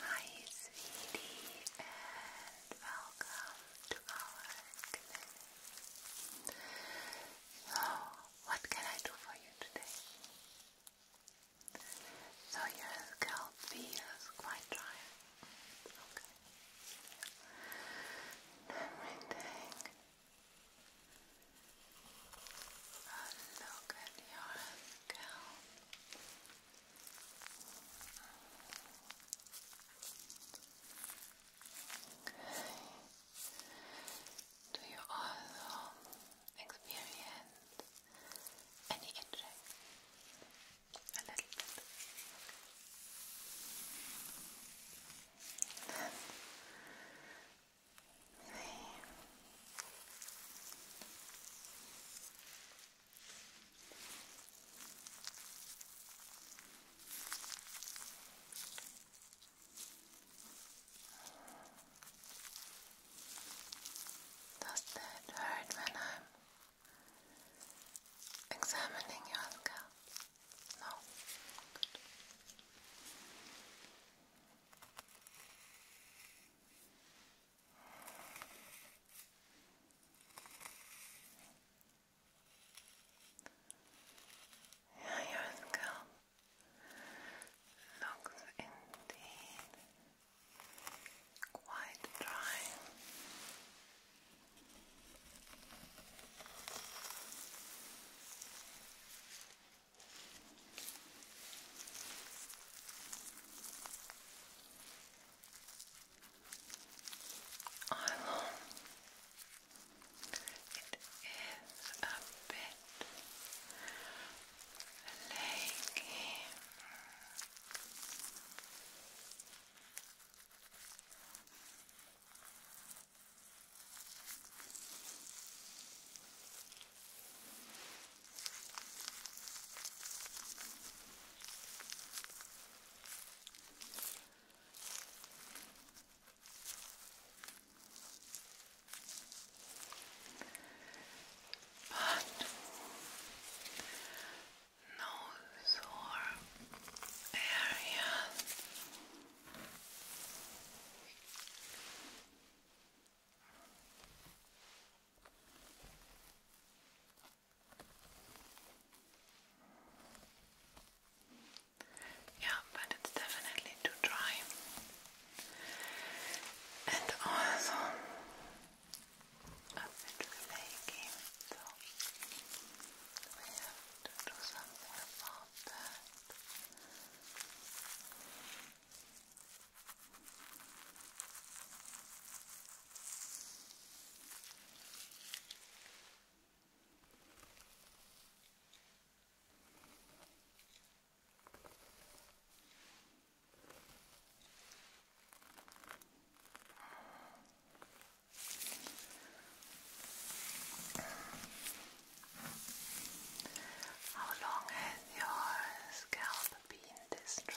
Hi, sweetie, and welcome to our clinic. So, what can I do for you today? So, your scalp feels quite dry. Okay. Let me take a look at your scalp. Do you also experience any itching? A little bit. Does that hurt when I'm examining your scalp? No. Yeah, your scalp looks indeed quite dry. Eyelong. It is a bit flaky. But no sore area. Yeah, but it's definitely too dry. And also a bit flaky, so we have to do something about that. How long has your scalp been this dry?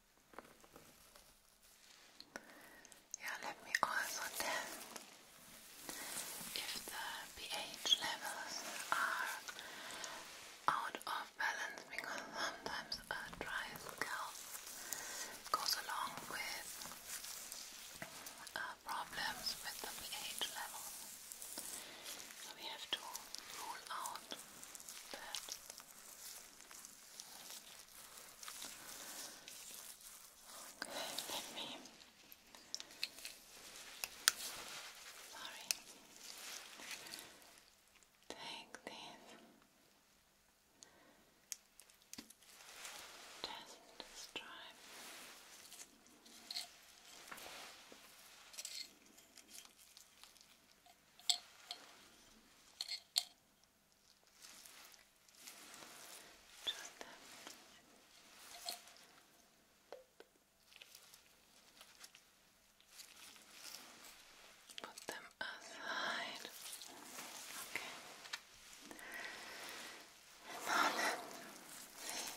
Yeah, let me also test if the pH levels are out of balance because sometimes a dry scalp goes along with uh, problems with the pH level. So we have to rule out that. Okay, let me. Sorry. Take this. Just stripe. Okay. Just that much. Put them aside. Okay. And now let's see. Just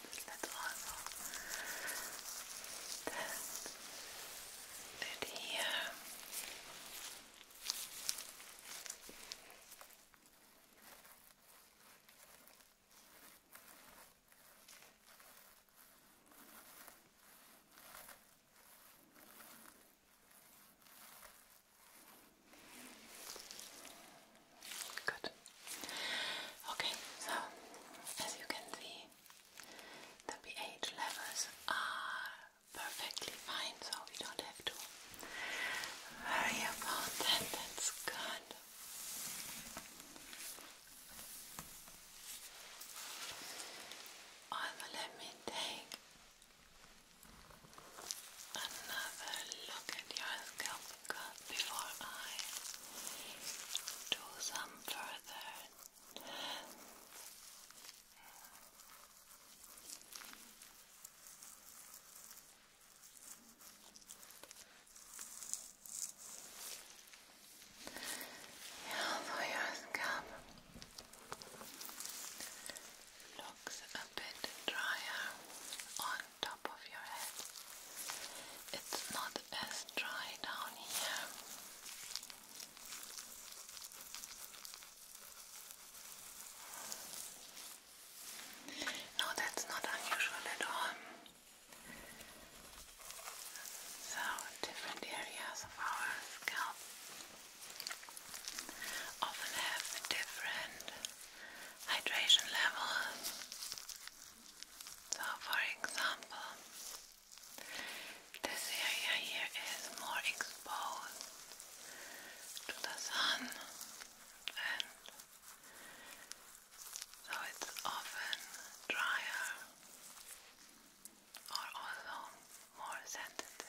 That's horrible. Then, right here. Good. Okay, so as you can see, the pH levels are perfectly fine, so we don't have to worry about that. That's good. Also, let me take another look at your scalp before I do some further. Yeah, for your scalp looks a bit drier on top. It's not as dry down here. No, that's not unusual at all. So, different areas of our scalp often have different hydration levels. So, for example, this area here is more exposed to the sun, and so it's often drier or also more sensitive.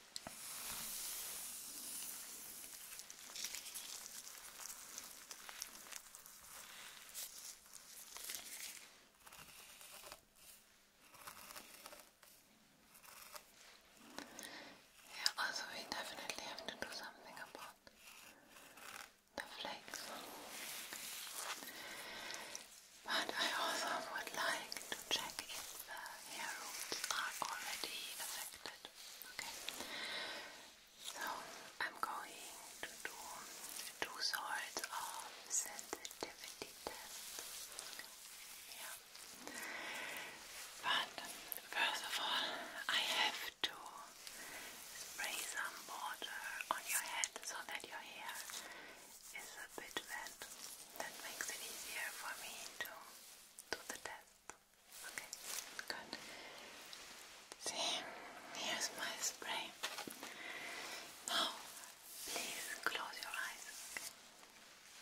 Yeah, also we definitely have to do something about the flakes. But I also would like to check if the uh, hair roots are already affected. Okay, so I'm going to do two sorts of sensitivity tests. Yeah. first of all, I have to spray some water on your head so that your hair is a bit wet. That makes it easier for me to do the test. Okay, good. See, here's my spray. Now, please close your eyes. Okay?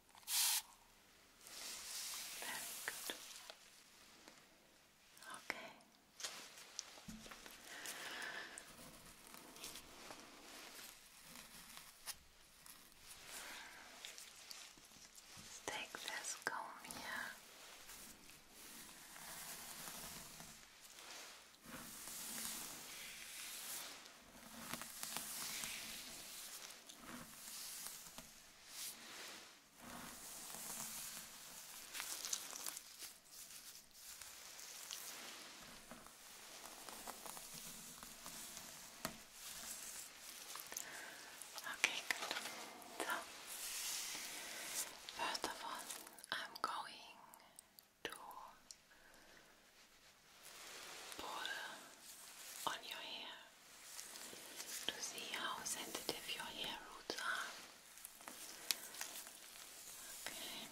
Very good. Okay. Let's take this comb here. Okay, good. So, first of all, I'm going to pour on your hair to see how sensitive your hair roots are. Okay.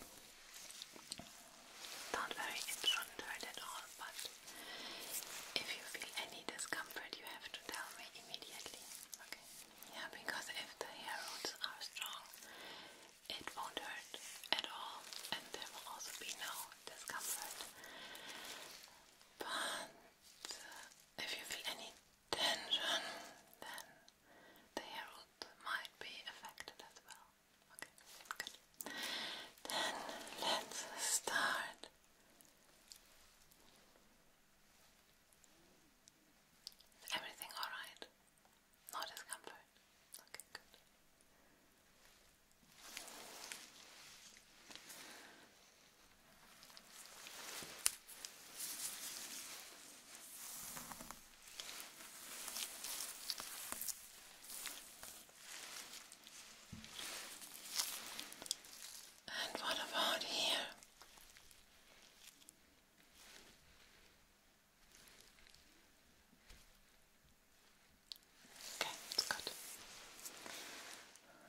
Not very, it at all, but if you feel any discomfort, you have to tell me immediately. Okay. Yeah, because if the hair roots are strong, it won't hurt at all, and there will also be no discomfort. But if you feel any tension, then the hair root might be affected as well. Okay, good. Then let's start. everything alright? No discomfort? Okay, good. And what about here? Okay, it's good.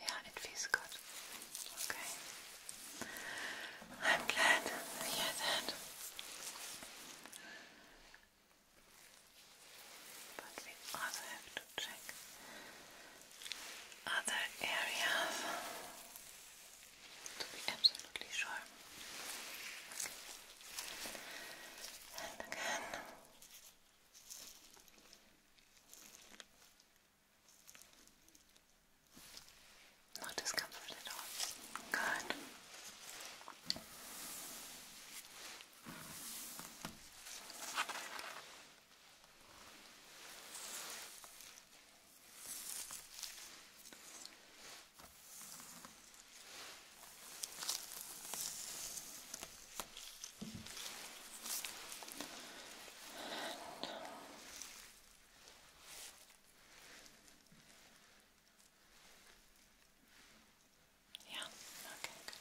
Yeah, it feels good. Okay. I'm glad to hear that. But we also have to check other areas to be absolutely sure. And again. No discomfort at all. Good. Yeah, okay, good.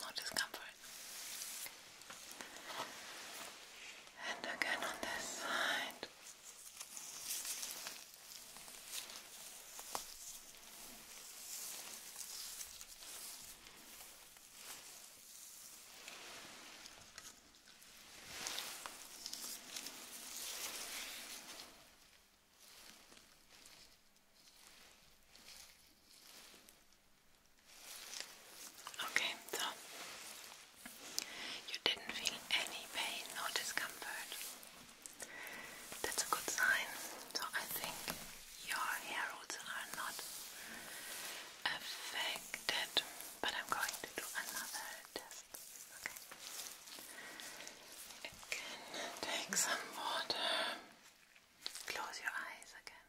No discomfort. And again on this side. Okay, so you didn't feel any pain or discomfort. That's a good sign. So I think your hair roots are not affected, but I'm going to do another test take some water. Close your eyes again.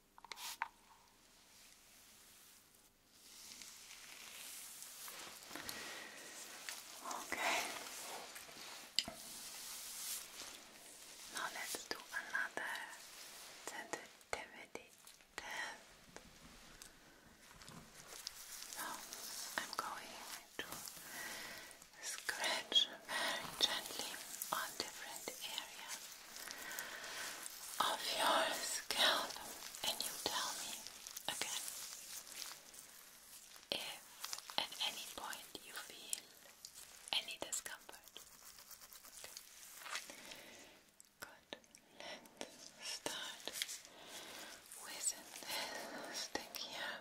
Okay. Now let's do another sensitivity test. So I'm going to scratch very gently on different areas of your scalp and you tell me again if at any point you feel any discomfort. Good. let start with this stick here.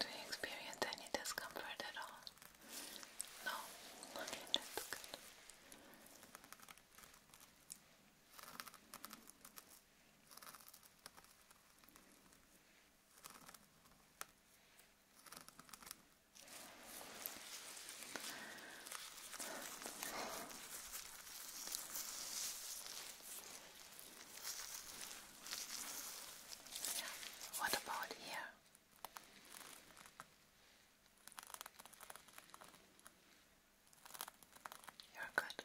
Do you experience any discomfort at all? No? Okay, that's good. Okay. What about here? You're good.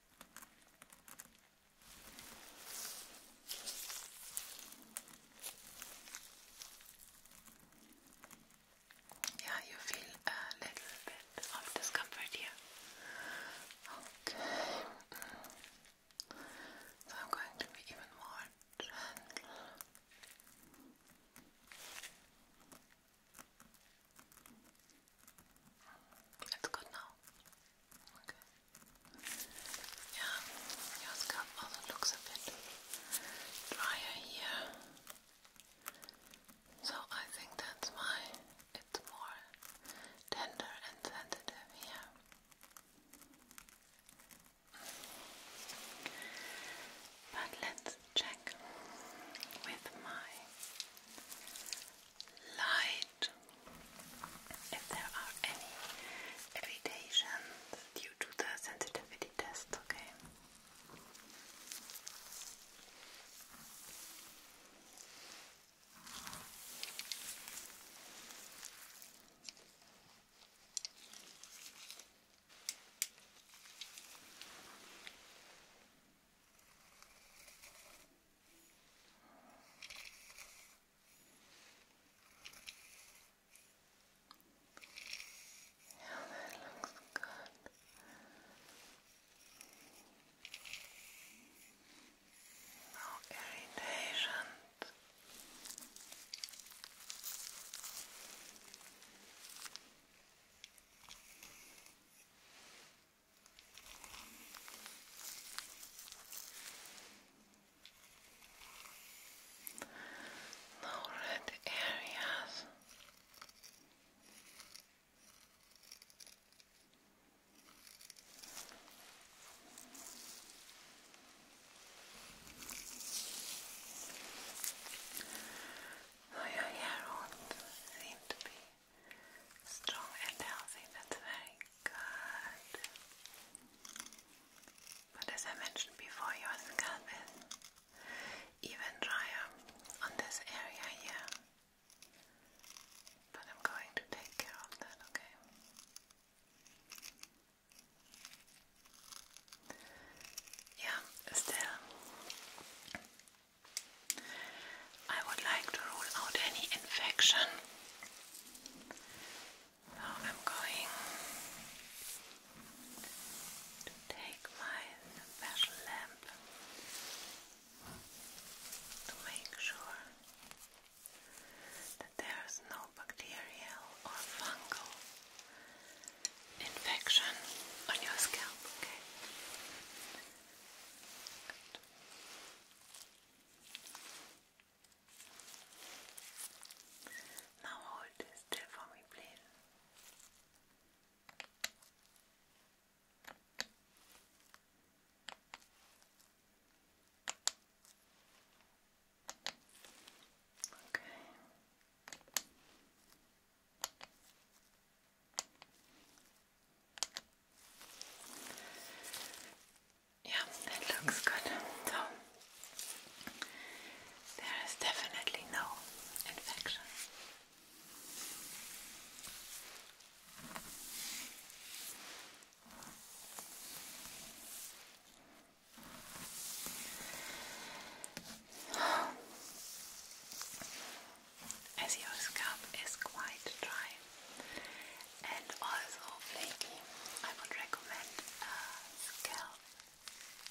Yeah, you feel a little bit of discomfort here. Okay. So I'm going to be even more gentle. It's good now. Okay. Yeah, your scalp also looks a bit drier here. So I think that's why it's more tender and sensitive here. But let's check with my light. If there are any irritations due to the sensitivity test, okay? Yeah, that looks good. No irritation. Good. No red areas. No, your hair seem to be strong and healthy. That's very good. But as I mentioned before, your scalp is even drier on this area here. But I'm going to take care of that, okay? Yeah, still I would like to rule out any infection. So I'm going to take my special lamp to make sure that there is no bacterial or fungal infection on your scalp, okay? Now hold this still for me, please. Okay. Yeah, that looks good. So, there is definitely no infection as your scalp is quite dry and also flaky, I would recommend a uh, scalp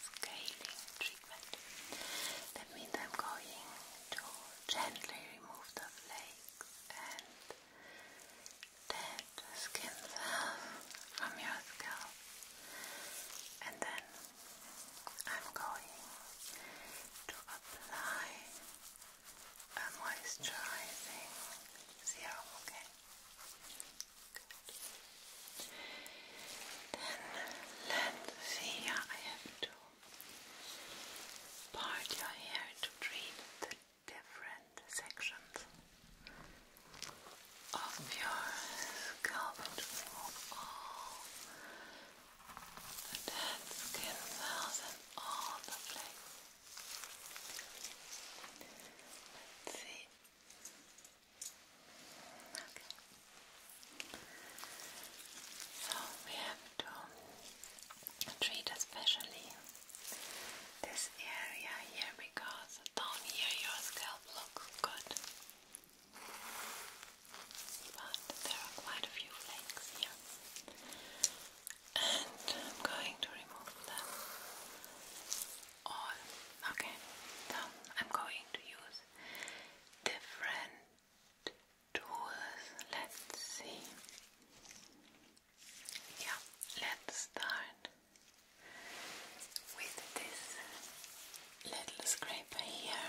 scaling treatment. That means I'm going to gently remove the flakes and dead skin cells from your scalp and then I'm going to apply and moisturizing serum, okay? Then let's see, I have to part your hair to treat the different sections of your scalp the dead in all the place. Let's see. Okay. So we have to treat especially this area here because down here your scalp looks good. But there are quite a few flakes here and I'm going to remove them all. Okay, so I'm going to use different tools. Let's see. Yeah, let's start with this little scraper here.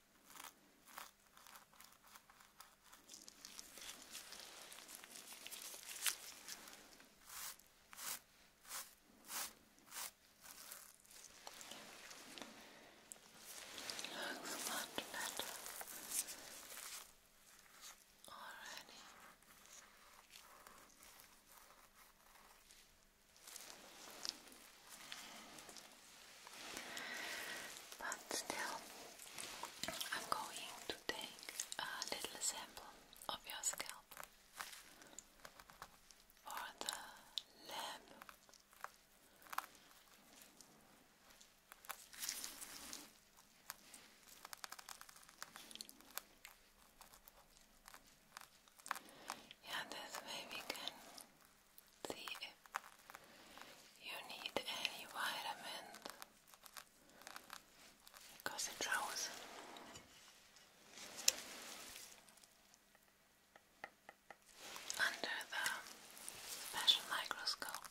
Looks much better already. But still, I'm going to take a little sample of your scalp for the lab. Yeah, this way we can you need any vitamins because it shows. Under the special microscope.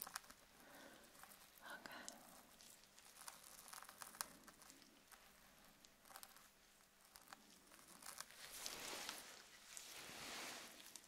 Okay.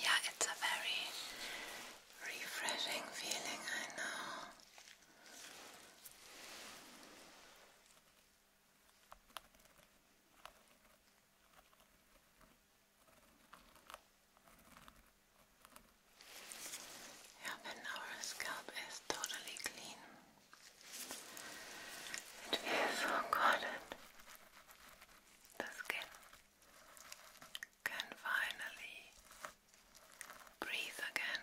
Yeah, it's a very refreshing feeling, I know. Yeah, our scalp is totally clean, it feels so oh cotton. The skin can finally breathe again.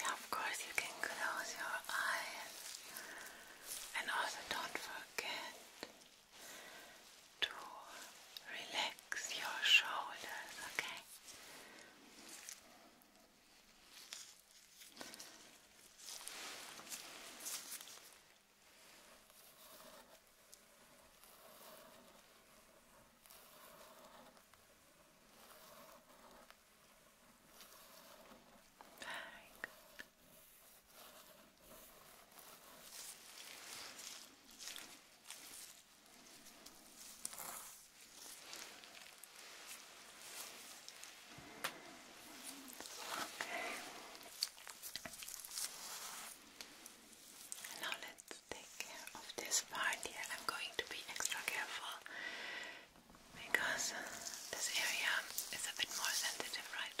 Yeah, of course, you can close your eyes and also don't forget to relax your shoulders, okay? Very Okay. Now let's take care of this part here. I'm going to be extra careful because this area is a bit more sensitive, right?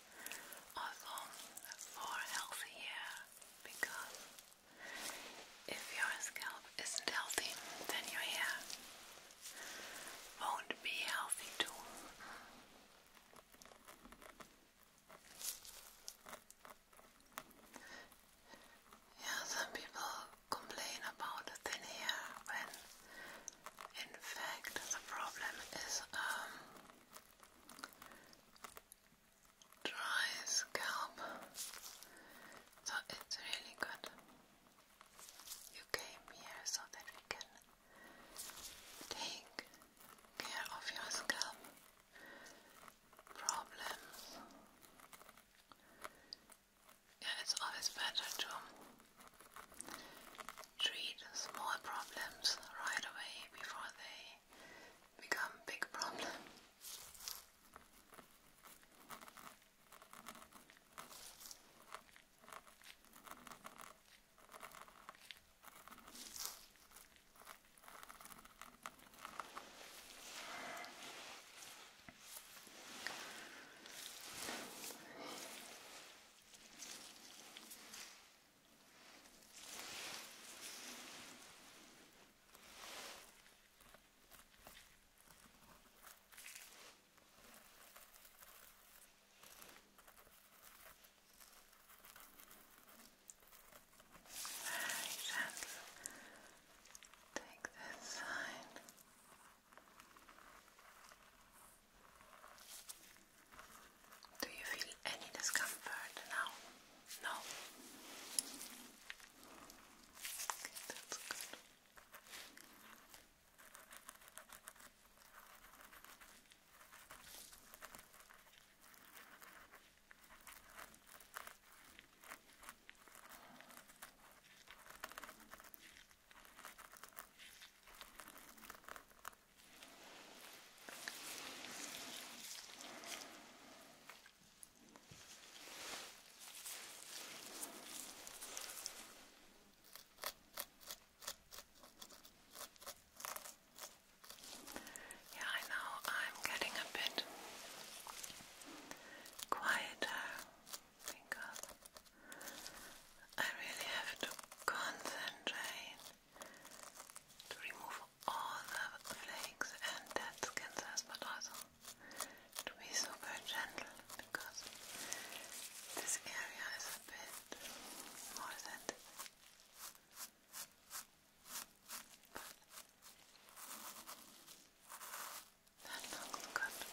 also for healthy hair because if your scalp isn't healthy, then your hair won't be healthy too. Yeah, some people complain about thin hair when in fact, the problem is um, dry scalp, so it's really good you came here so that we can take care of your scalp problems. Yeah, it's always better to Treat small problems right away before they become big problems. Very gentle. Take this side. Do you feel any discomfort now? No? Okay, that's good. Yeah, I know I'm getting a bit quieter because I really have to concentrate to remove all the flakes and dead skin cells, but also to be super gentle because this area is a bit more sensitive. That looks good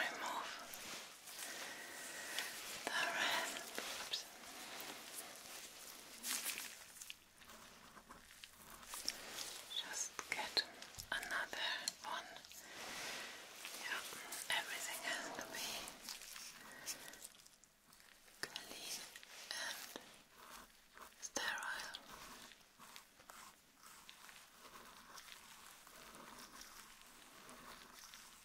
remove the red Just get another one. Yeah, everything has to be clean and sterile.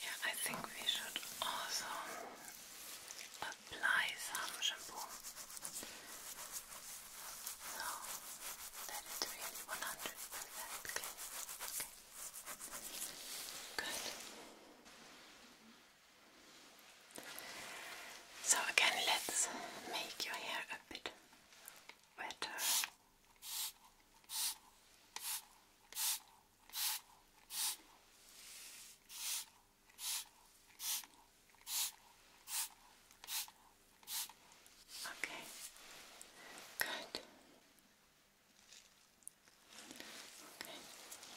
Yeah, I think we should also apply some shampoo so that it's really 100% clean. Okay. Good. So again, let's make your hair a bit wetter. Okay, good. Okay. Now.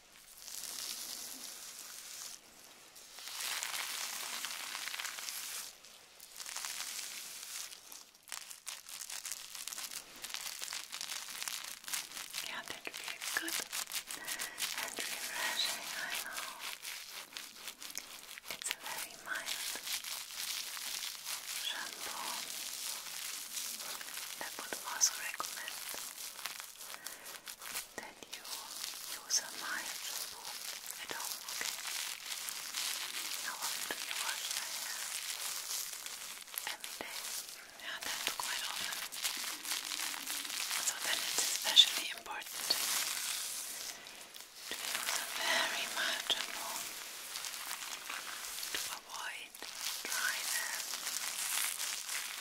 Yeah, that good and refreshing, I know. It's a very mild shampoo that would also recommend that you use my shampoo at home, okay? How often do you wash your hair? Every day? Yeah, that's quite often. So then it's especially important to use a very mild shampoo to avoid dryness.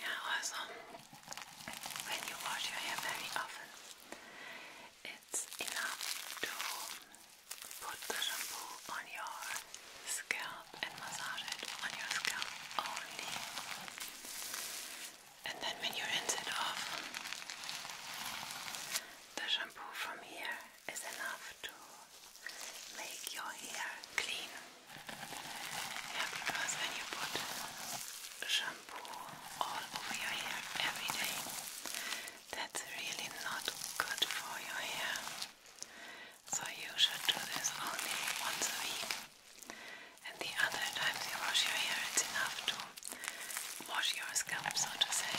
Now, also, um, when you wash your hair very often, it's enough to put the shampoo on your scalp and massage it on your scalp only. And then when you rinse it off, the shampoo from here is enough to make your hair clean. because when you put shampoo all over your hair every day, that's really not good for your hair. So you should do this only once a week and the other times you wash your hair, it's enough to wash your scalp, so to say.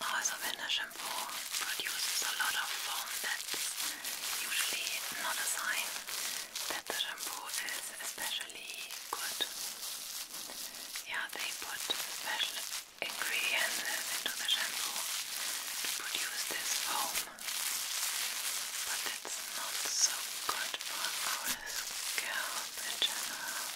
Also when a shampoo produces a lot of foam, that's usually not a sign that the shampoo is especially good. Yeah, they put special ingredients into the shampoo to produce this foam, but it's not so good for our scalp in general.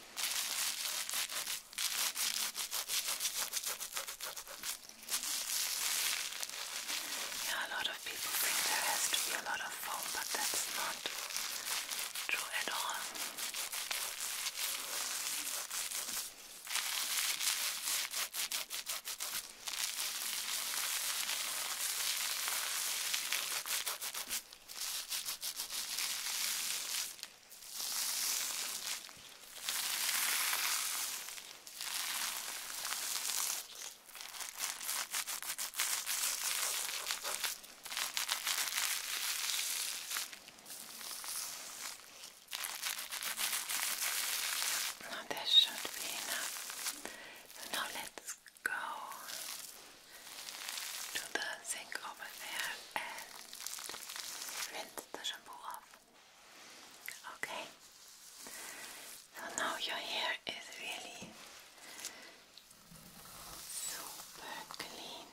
Yeah, a lot of people think there has to be a lot of foam, but that's not true at all. Now that should be enough. Now let's go to the sink over there and rinse the shampoo off. Okay. So now your hair is really super clean.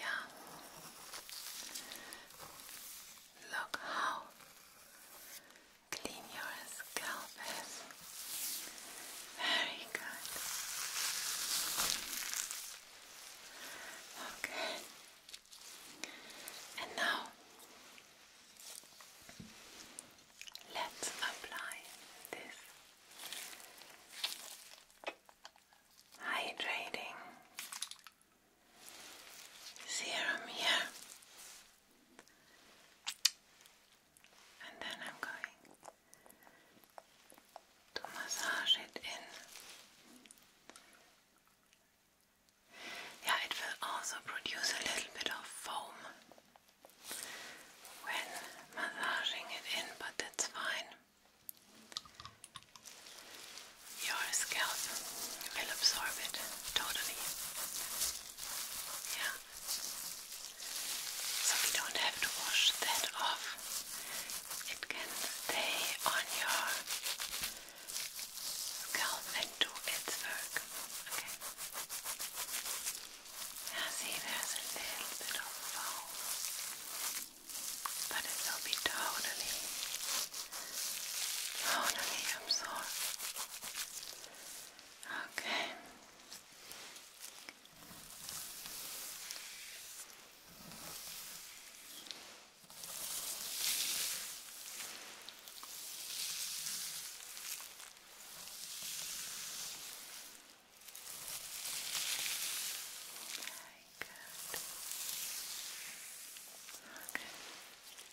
Yeah. Look how clean your scalp is very good. Okay. And now let's apply this hydrating serum here and then I'm going to massage it in. Yeah, it will also produce a little bit of foam when massaging it in, but that's fine. Your scalp will absorb it totally. Yeah so we don't have to wash that off. It can stay on your scalp and do its work. Okay. Now see, there's a little bit of foam, but it will be totally, totally absorbed. Okay. Very good. Okay.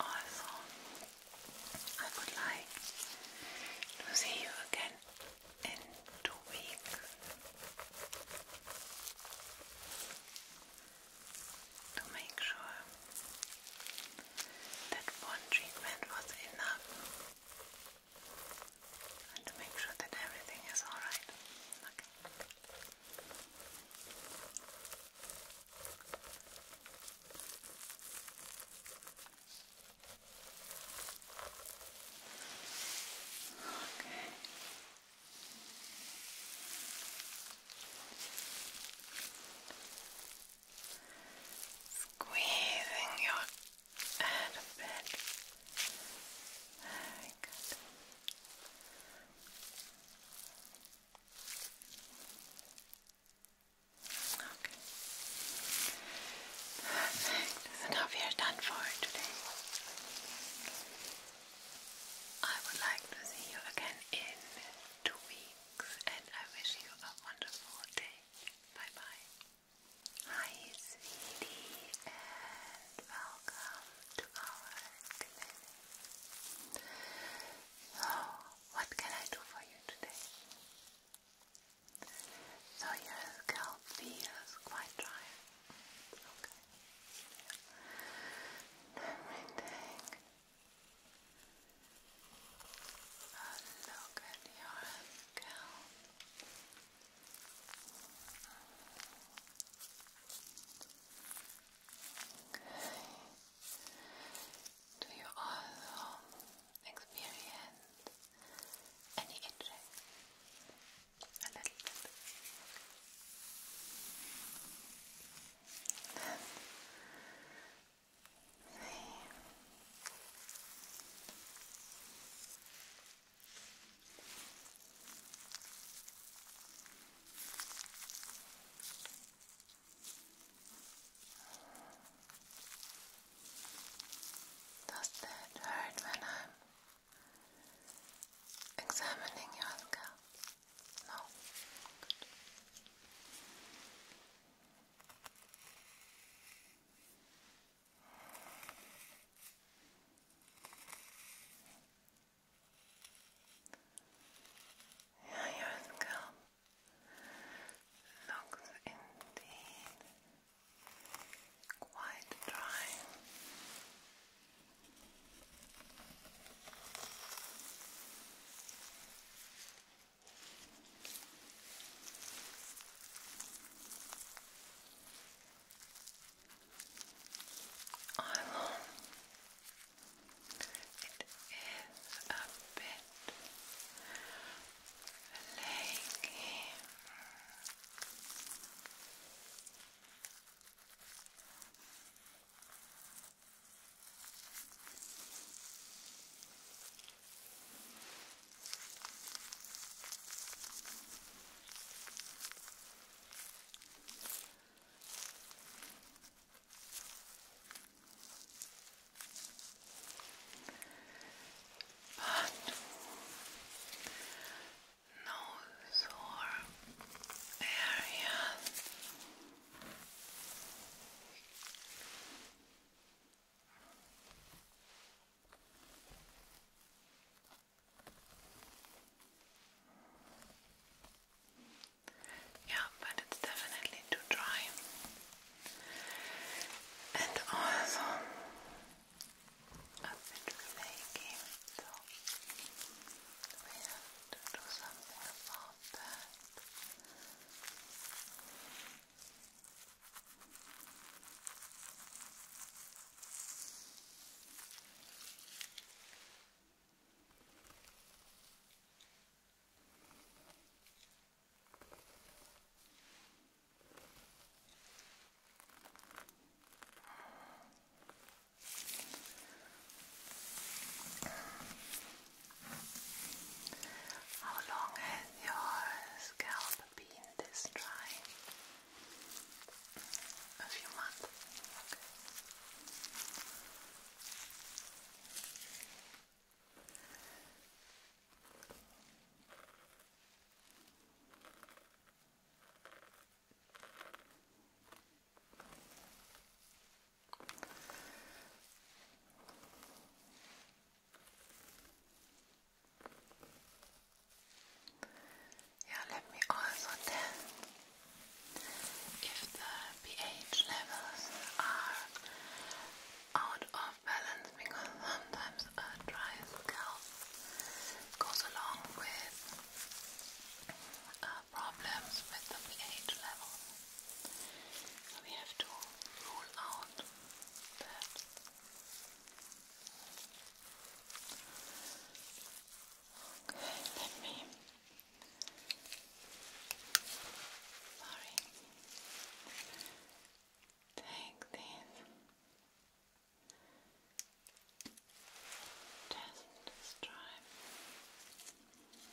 Also, I would like to see you again in two weeks to make sure that one treatment was enough and to make sure that everything is alright. Okay. Okay. Squeezing your head a bit. Okay. Perfect. That's enough. You're done for today. I would like to see you again in two weeks, and I wish you a wonderful day. Bye bye. Hi, sweetie, and welcome to our clinic. So, oh, what can I do for you today? So, your scalp feels quite dry. Okay everything. A look at your ankle. Do you also experience any itching? A little bit. Does that hurt when I'm examining your scalp? No. your scalp looks indeed quite dry. Oilon. It is a bit flaky. But but nose or area yeah, but it's definitely too dry. And also a bit flaky, so we have to do something about that. How long has your scalp been this dry? A few months. Yeah, let me also test if the pH levels are out of balance because sometimes a dry scalp goes along with uh, problems with the pH level. we have to rule out Okay, let me. Sorry. Take these. Test stripe. Just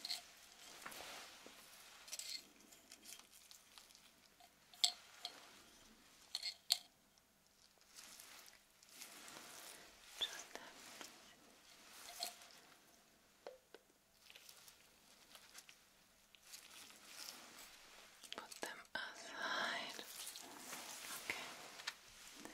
that Put them aside. Okay.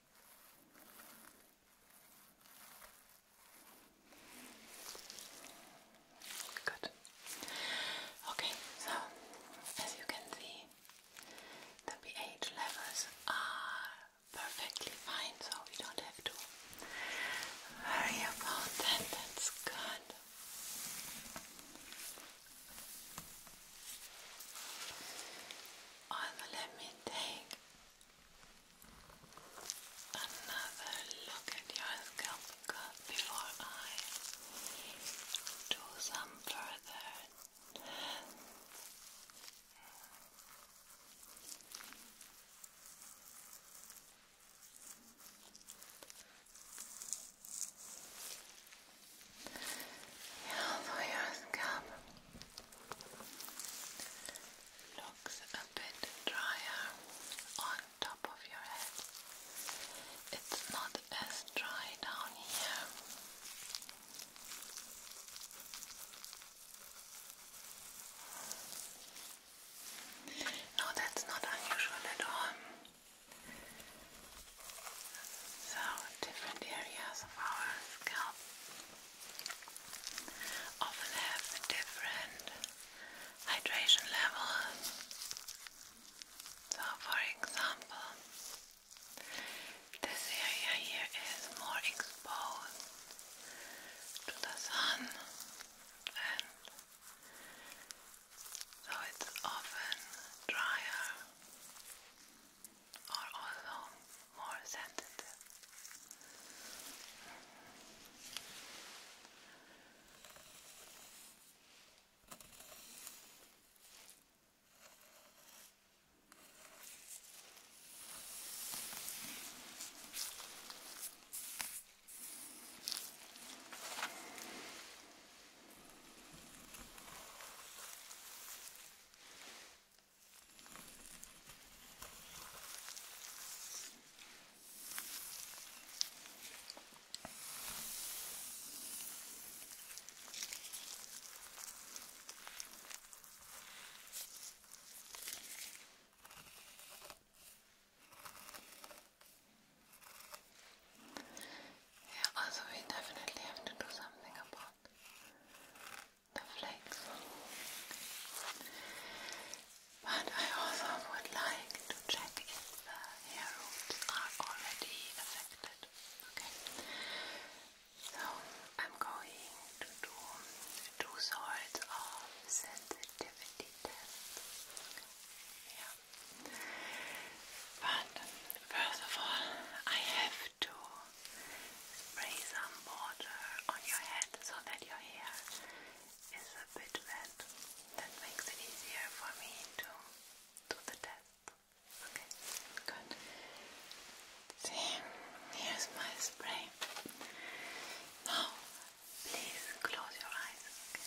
Good. Okay, so as you can see, the pH levels are perfectly fine, so we don't have to worry about that. That's good. And let me take another look at your scalp before I do some further your scalp Looks a bit drier on top of your head. It's not as dry down here. No, that's not unusual at all. So, different areas of our scalp often have different hydration levels. So, for example, this area here is more exposed to the sun, and so it's often drier are also more sensitive. Yeah, also we definitely have to do something about the flakes. But I also would like to check if the hair roots are already affected. Okay. So I'm going to do two sorts of sensitivity tests. Yeah. But first of all, I have to spray some water on your head so that your hair is a bit wet. That makes it easier for me to do the test. Okay, good. See, here's my spray. Now, please close your eyes. Okay.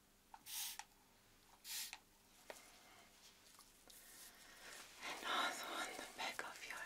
and also on the back of your head.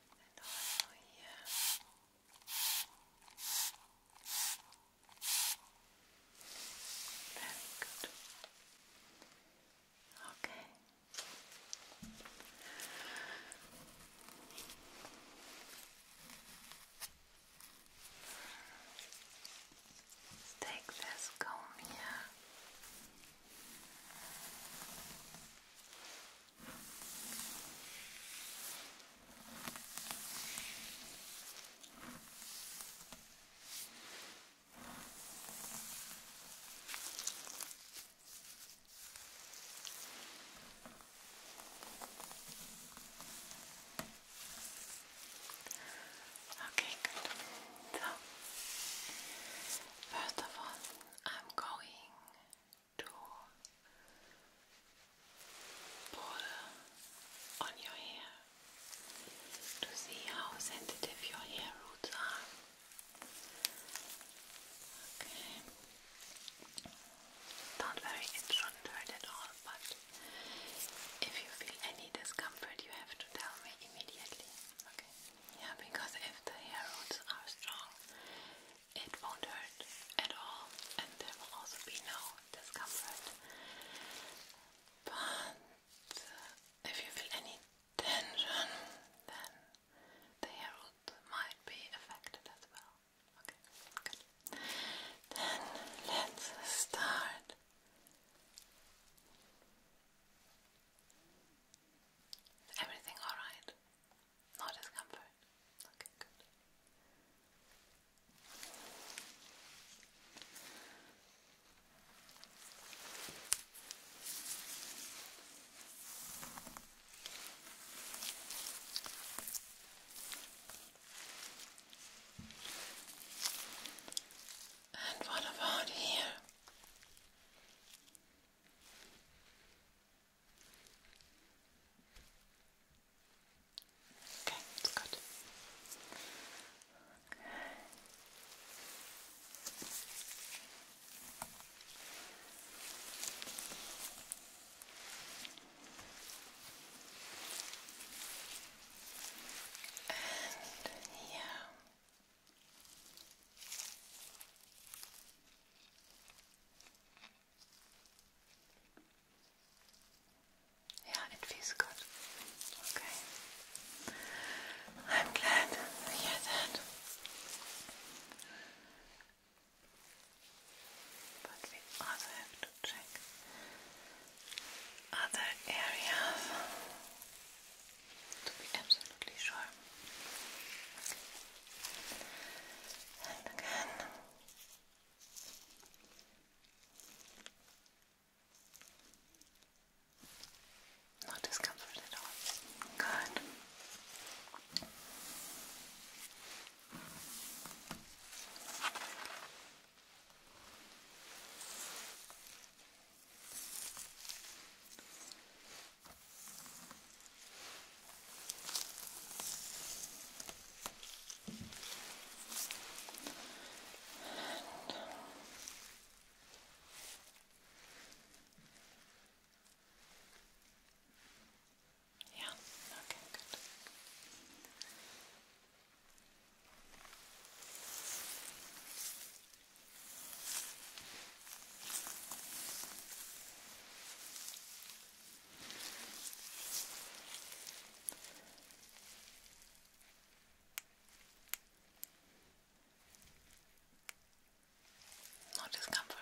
and oil Very good. Okay. Let's take this comb here. Okay, good. So, first of all, I'm going tool pull on your hair to see how sensitive your hair roots are. Okay. not worry, it at all, but if you feel any discomfort, you have to tell me immediately. Okay. Yeah, because if the hair roots are strong, it won't hurt at all, and there will also be no discomfort. But uh, if you feel any tension, then the hair root might be affected as well. Okay, good. Then let's start. everything alright? No discomfort. Okay, good. And what about here? Okay, it's good. And yeah. Yeah, it feels good. Okay. I'm glad to hear that. But we also have to check other areas to be absolutely sure and again. No discomfort at all. Good. And yeah, okay, good. Okay. No discomfort.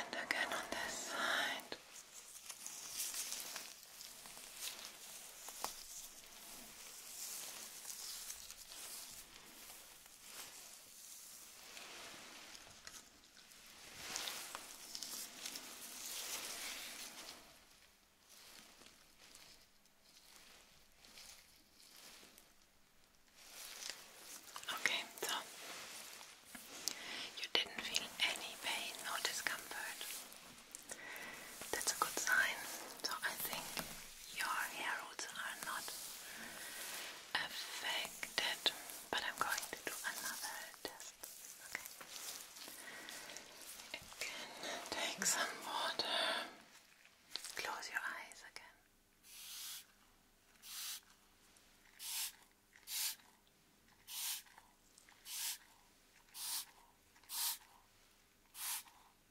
And again on this side. Okay, so you didn't feel any pain or discomfort. That's a good sign. So I think your hair roots are not affected, but I'm going to do another test. Okay. You take some water. Close your eyes again.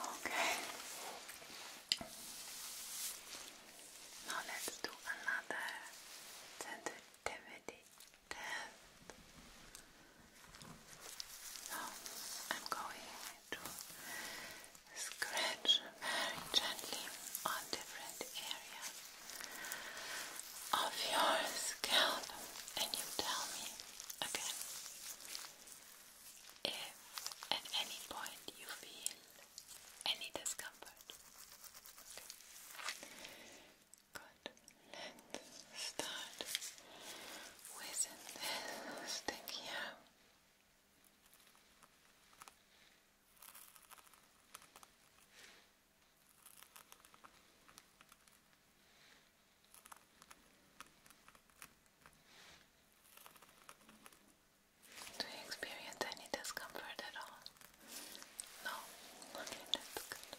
Okay. Now let's do another sensitivity test. Now I'm going to scratch very gently on different areas of your scalp, and you tell me again if at any point you feel any discomfort. Good and start with this stick here. Do you experience any discomfort at all? No? Okay, that's good.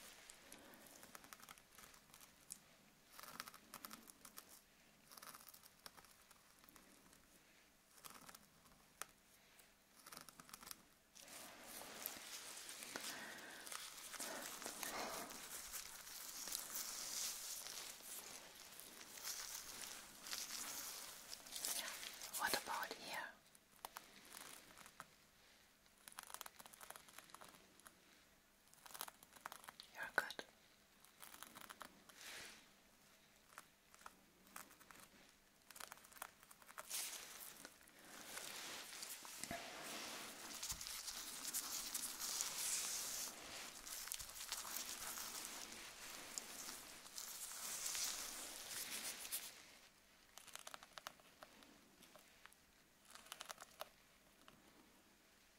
What about here? You're good.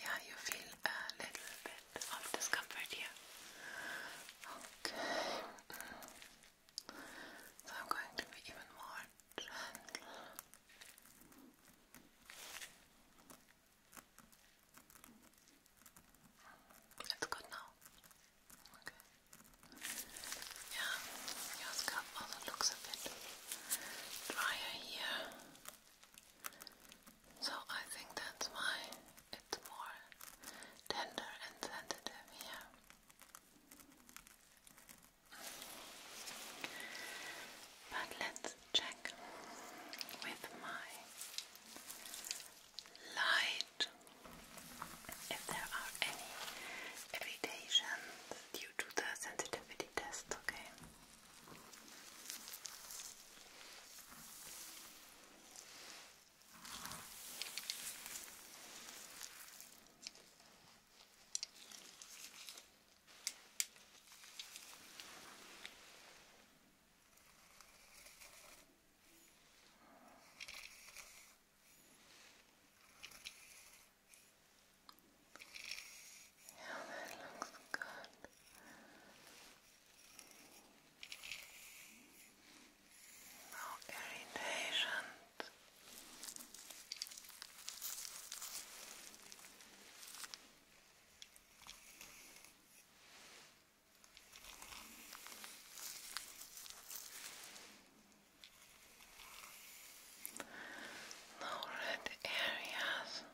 Yeah, you feel a little bit of discomfort here. Okay. So I'm going to be even more gentle. It's good now. Okay. Yeah, your scalp also looks a bit drier here. So I think that's why it's more tender and sensitive here. But let's check with my light if there are any irritations due to the sensitivity test, Okay. Yeah, that looks good. No irritation. No red areas.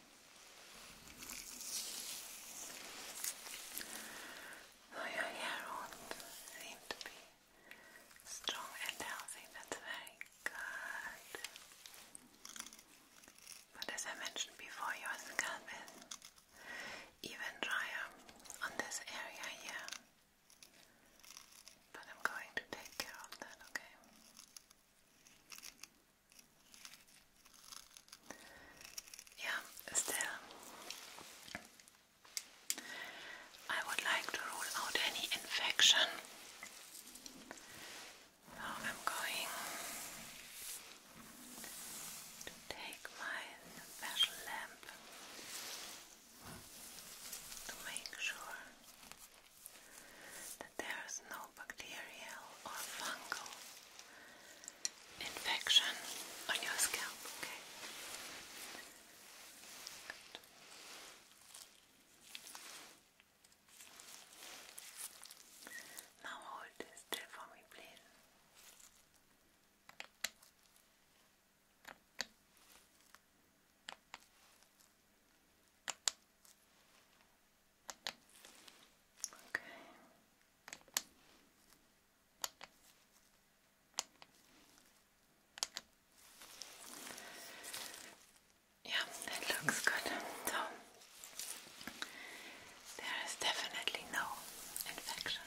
So your hair will seem to be strong and healthy, that's very good. But as I mentioned before, your scalp is even drier on this area here. But I'm going to take care of that, okay? Yeah, still, I would like to rule out any infection. So I'm going to take my special lamp to make sure that there is no bacterial or fungal infection on your scalp, okay? Now hold this still for me, please. Okay. Yeah, that looks good. So there is definitely no infection.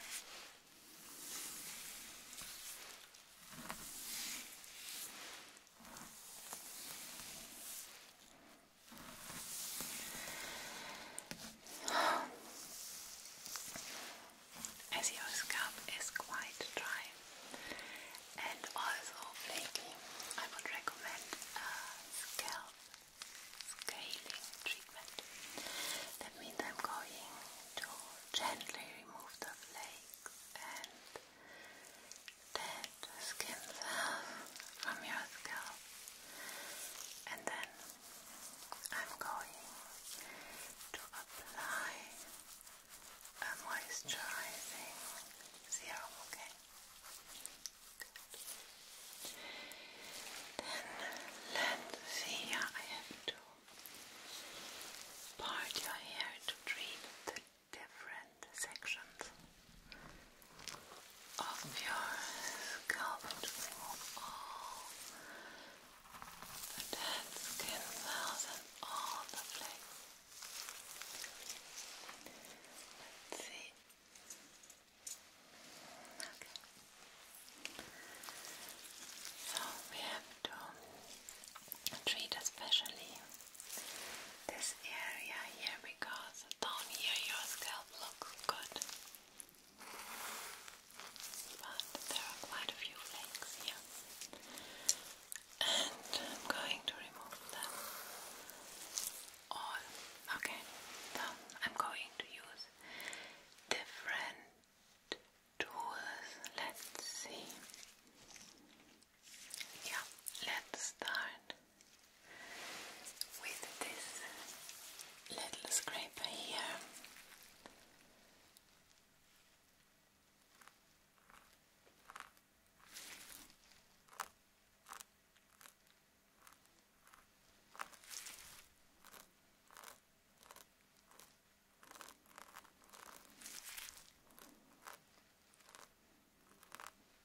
As your scalp is quite dry and also flaky, I would recommend a scalp scaling treatment. That means I'm going to gently remove the flakes and dead skin cells from your scalp and then I'm going to apply moisturizing serum, Then let's see here I have to part your hair to treat different sections of your scalp to all the dead skin cells and all the flakes. Let's see. Okay. So we have to treat especially this area here because down here your scalp looks good. But there are quite a few flakes here. And I'm going to remove them all. Okay, I'm going to use different tools. Let's see. Yeah, let's start with this little scraper here.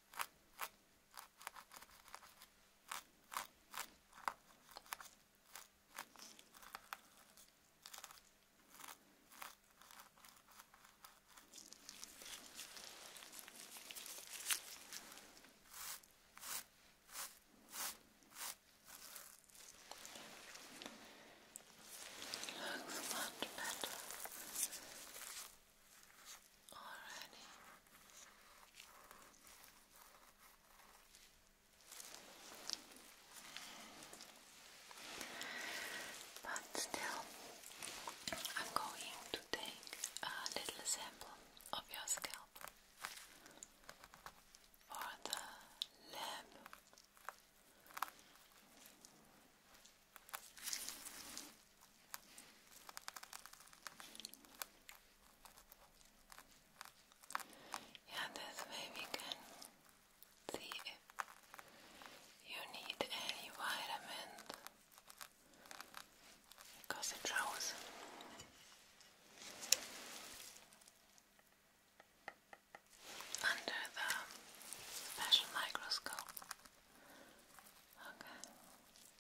Looks much better. Alrighty. But still, I'm going to take a little sample of your scalp for the lab. Yeah, this way we can see if you need any vitamins because it shows. Under the special microscope. Okay.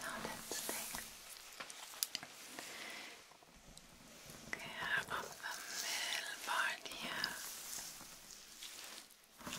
Now let's take care of the middle part here. Now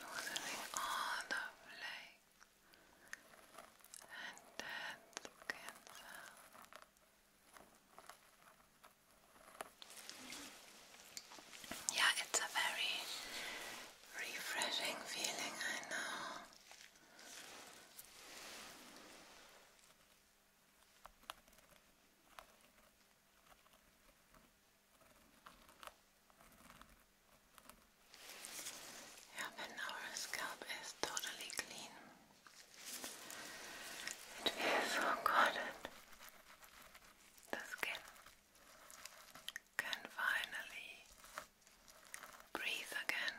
loosening all the flakes and dead skin Yeah, it's a very refreshing feeling, I know. Yeah, when our scalp is totally clean, it feels so good. The skin can finally breathe again.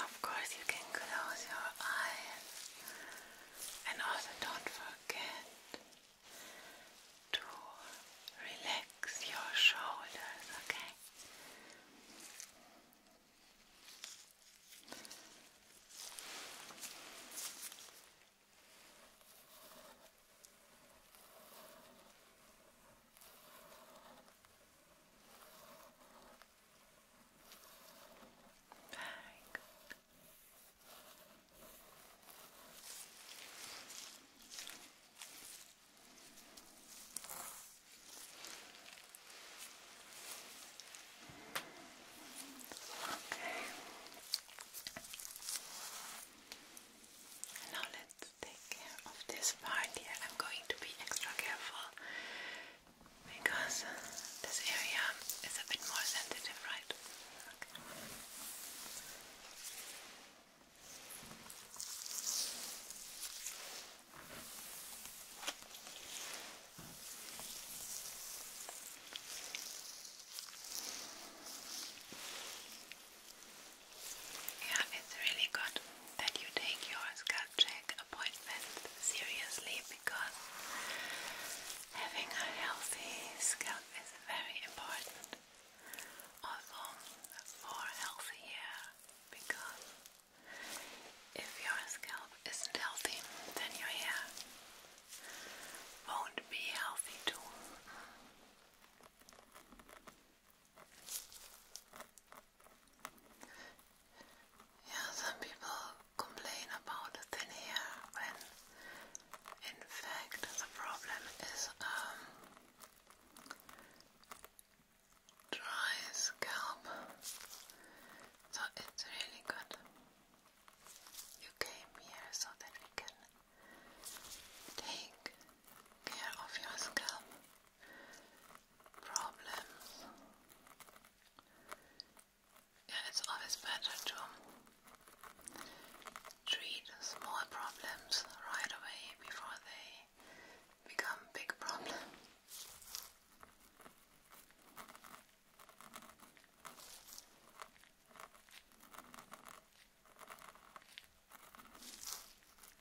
Of course, you can close your eyes and also don't forget to relax your shoulders, okay? Very good. Now let's take of this part here. I'm going to be extra careful because this area is a bit more sensitive, right? Yeah, it's really good that you take your scalp check seriously because having a healthy scalp is very important. Also for healthy hair because if your scalp isn't healthy then your hair won't be healthy too. Mm yeah, some people complain about thin hair when in fact the problem is um, dry scalp. So it's really good. You came here so that we can take care of your scalp problems. Yeah, it's always better to treat small problems right away before they become big problems.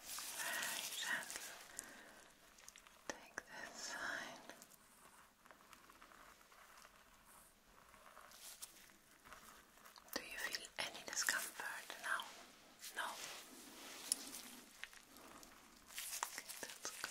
Very gentle. Take this side. Do you feel any discomfort now? No. Okay, that's good.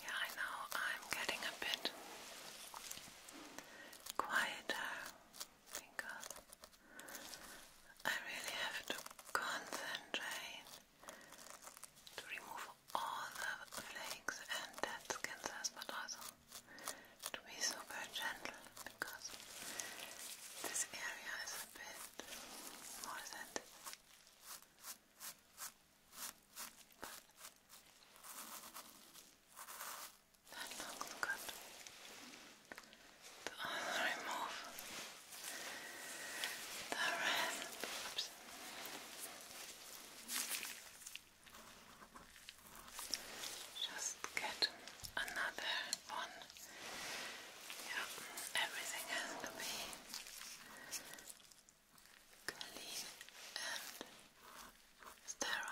Yeah, I know I'm getting a bit quieter because I really have to concentrate to remove all the flakes and dead skin cells, but also to be super gentle because this area is a bit more sensitive. And look, look at remove the red. Just get another one. Yeah, everything has to be clean and sterile.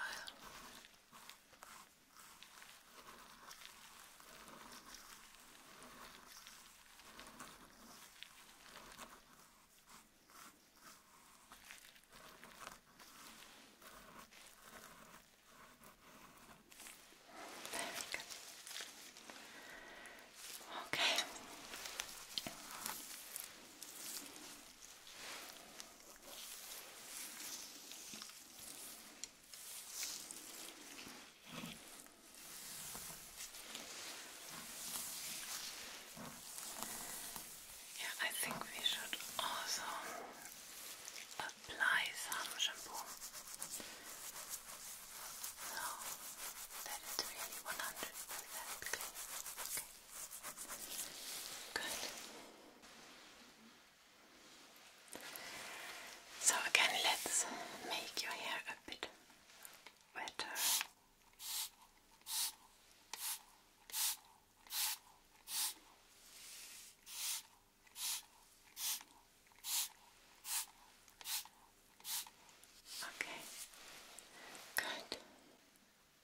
Okay. Yeah, I think we should also apply some shampoo so that it's really 100% Okay. Good. So again, let's make your hair a bit wetter. Okay, good.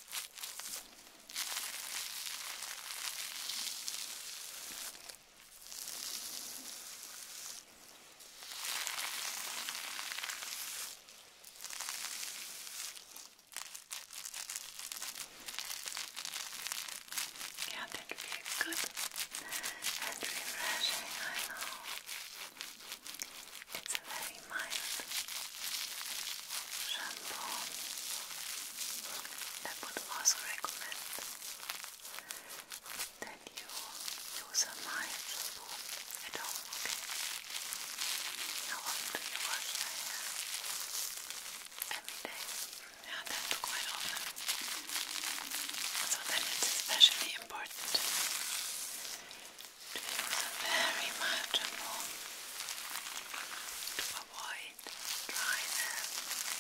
Yeah, that feels good and refreshing, I know. It's a very mild shampoo I would also recommend that you use a mild shampoo at home, okay? often do you hair? Every day? Yeah, quite often. So then it's especially important very manageable to avoid dry them. Okay.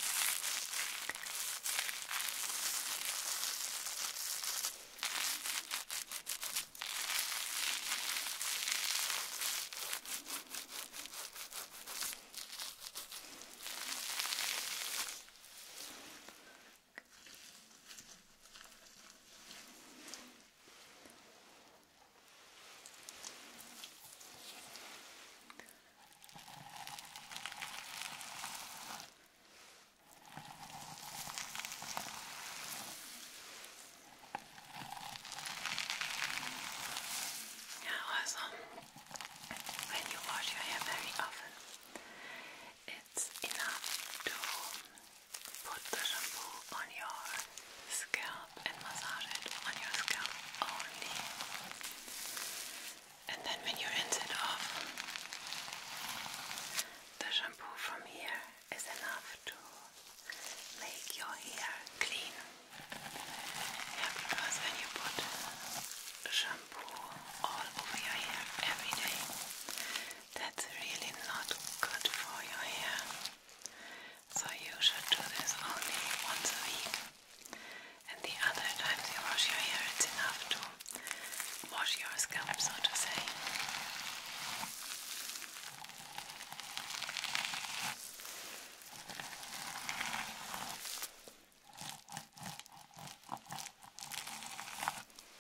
Yeah, also, when you wash your hair very often, it's enough to Put the shampoo on your scalp and massage it on your scalp only. And then when you rinse it off, the shampoo from here is enough to make your hair clean. because when you put shampoo all over your hair every day, that's really not good for your hair. So you should do this only once a week. And the other times you wash your hair, it's enough to wash your scalp, so to say.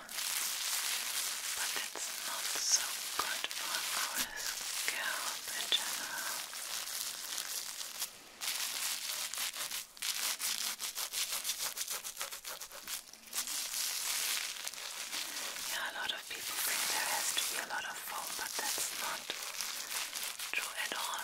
but it's not so good for our scalp in general. Yeah, a lot of people think there has to be a lot of foam, but that's not true at all.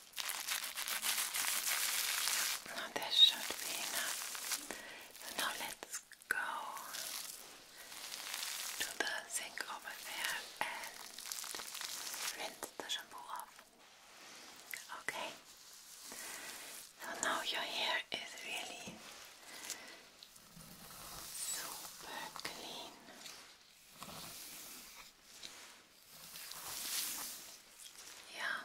this should be enough. So now let's go to the sink over there and rinse the shampoo off. Okay. So now your hair is really super clean. Yeah.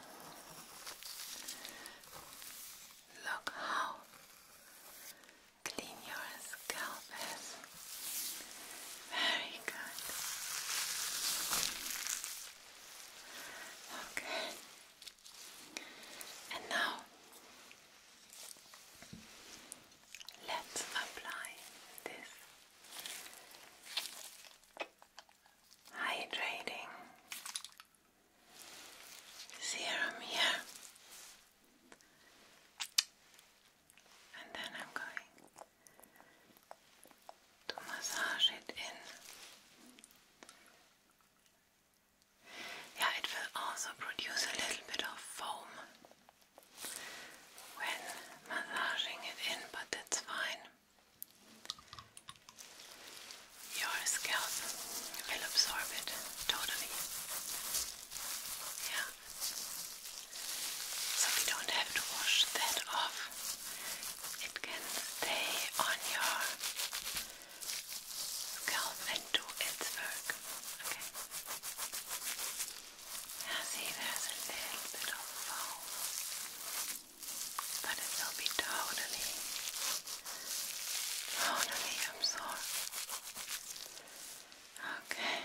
Look how clean your scalp is. Very good. Okay. And now let's apply this hydrating serum here, and then I'm going to massage it in. Yeah, it will also produce a little bit of foam when massaging it in, but that's fine. Your scalp will absorb it totally. Yeah. So we don't have to wash that off. It can stay on your scalp and do its work. Okay. see, there's a little bit of foam but it will be totally, totally absorbed. Okay.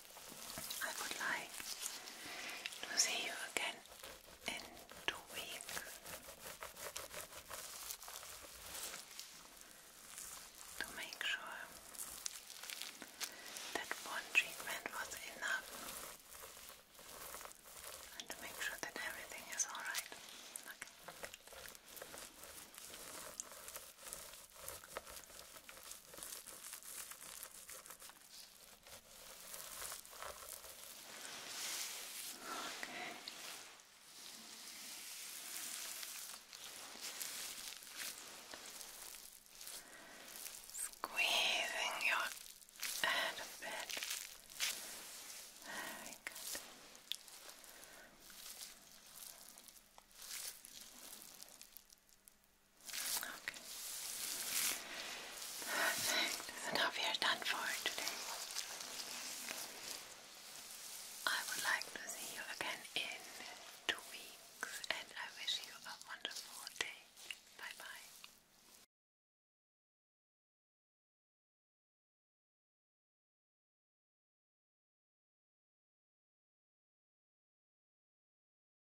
I would like to see you again in two weeks. To make sure that one treatment was enough and to make sure that everything is alright. Okay. Okay. Squeezing your head a bit. Very good. Okay. Okay. Perfect. we are done for today. I would like to see you again in two weeks and I wish you a wonderful day. Bye bye.